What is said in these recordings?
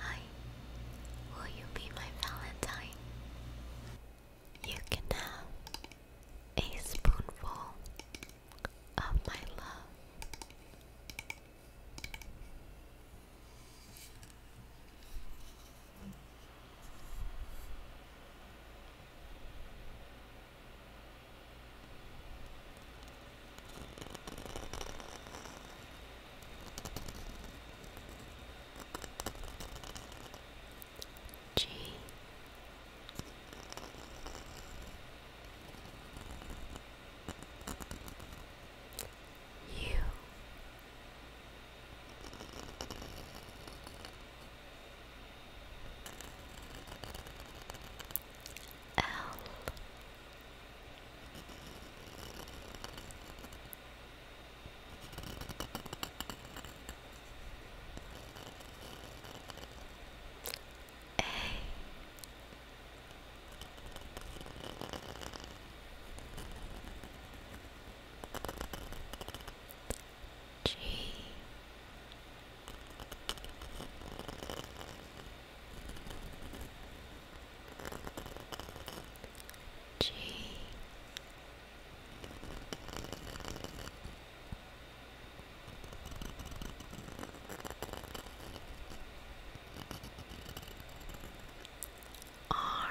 Hi, will you be my Valentine? You can have a spoonful of my love. G U L Hey. G G R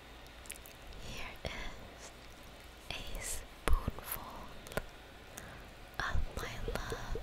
Here is a spoonful of my love.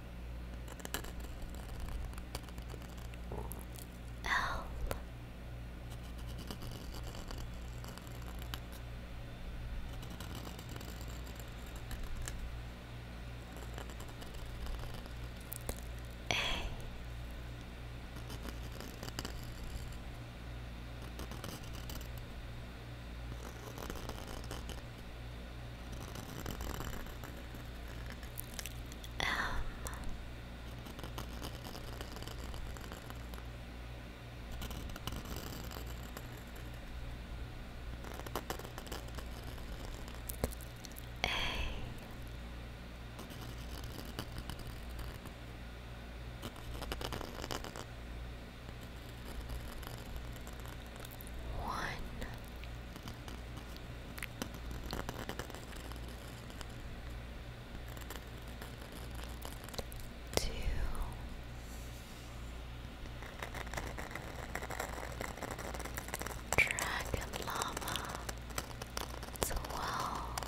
L. A. Um A one. Two, Dragon Lava, twelve.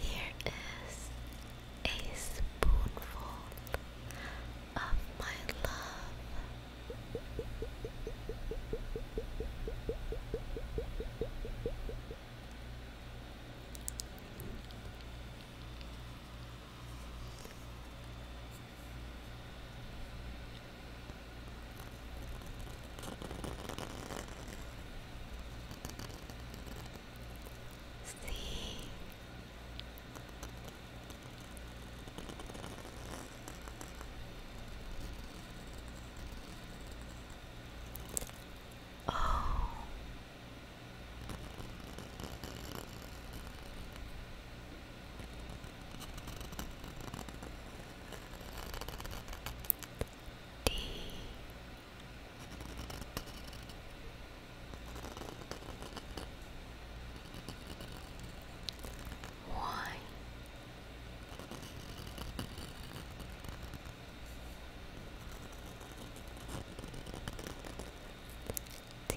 Here is a spoonful of my love see oh D why? D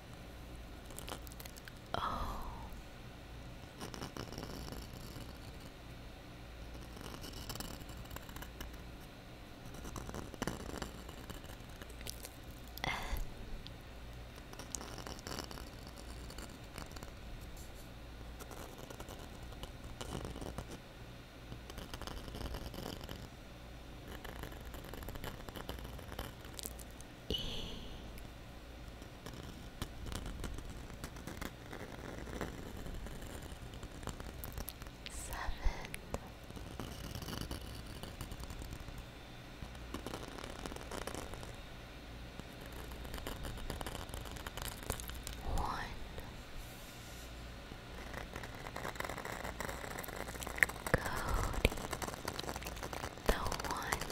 Oh. And E seven the one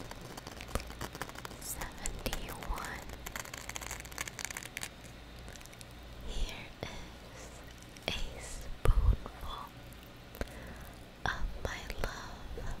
seventy one. Here is a spoonful of my love.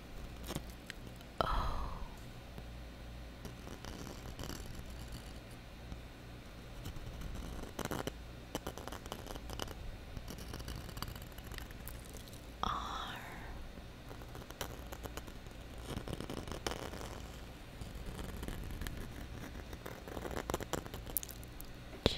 Oh. R. G.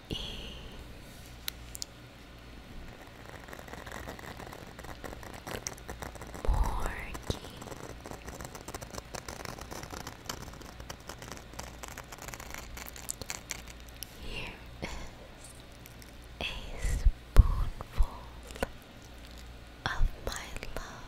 y Porky a spoonful of my love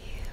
You M um.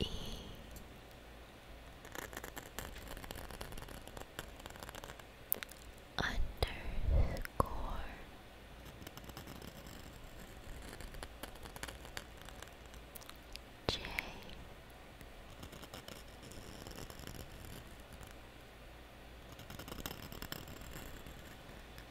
E underscore J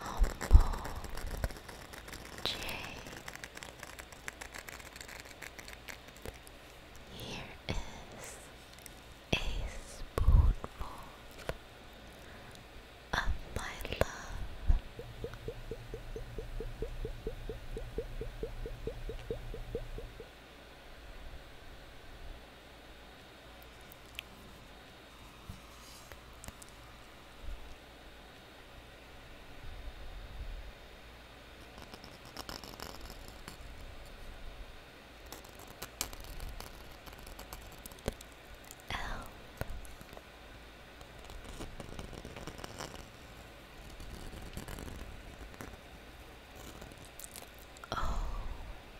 Humble J. Here is a spoonful of my love. Elm. Oh,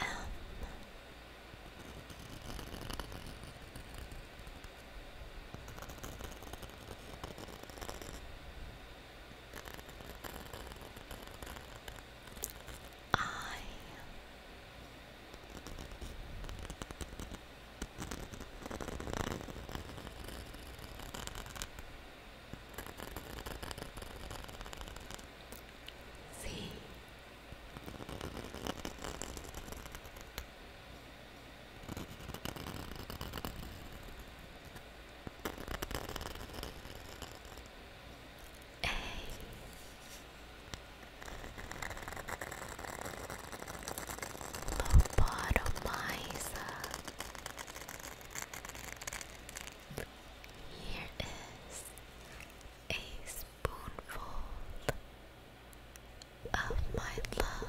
Um. I Hey. Lobotomizer. Here is a spoonful of my love.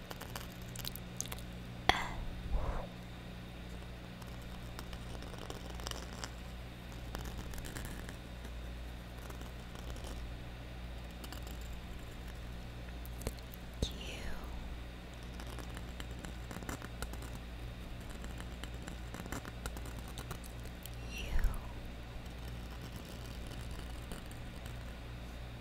Uh. Q. U.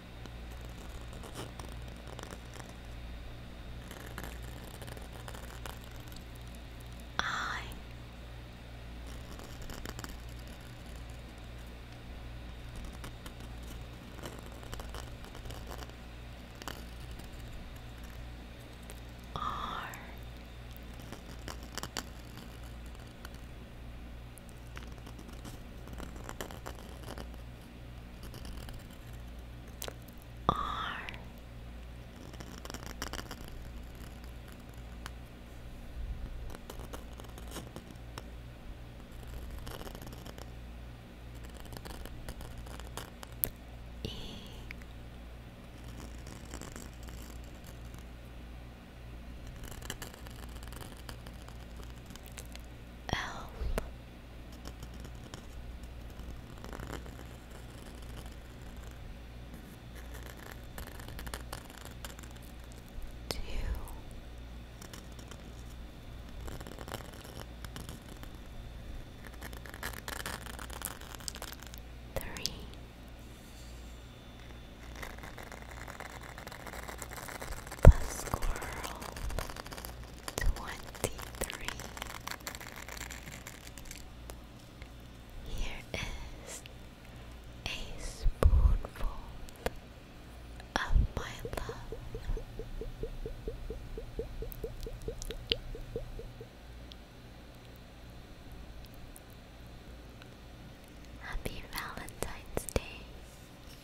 I are R E L Two. Three. Bus squirrel. 23. Here is a spoonful of my love. Happy Valentine's Day.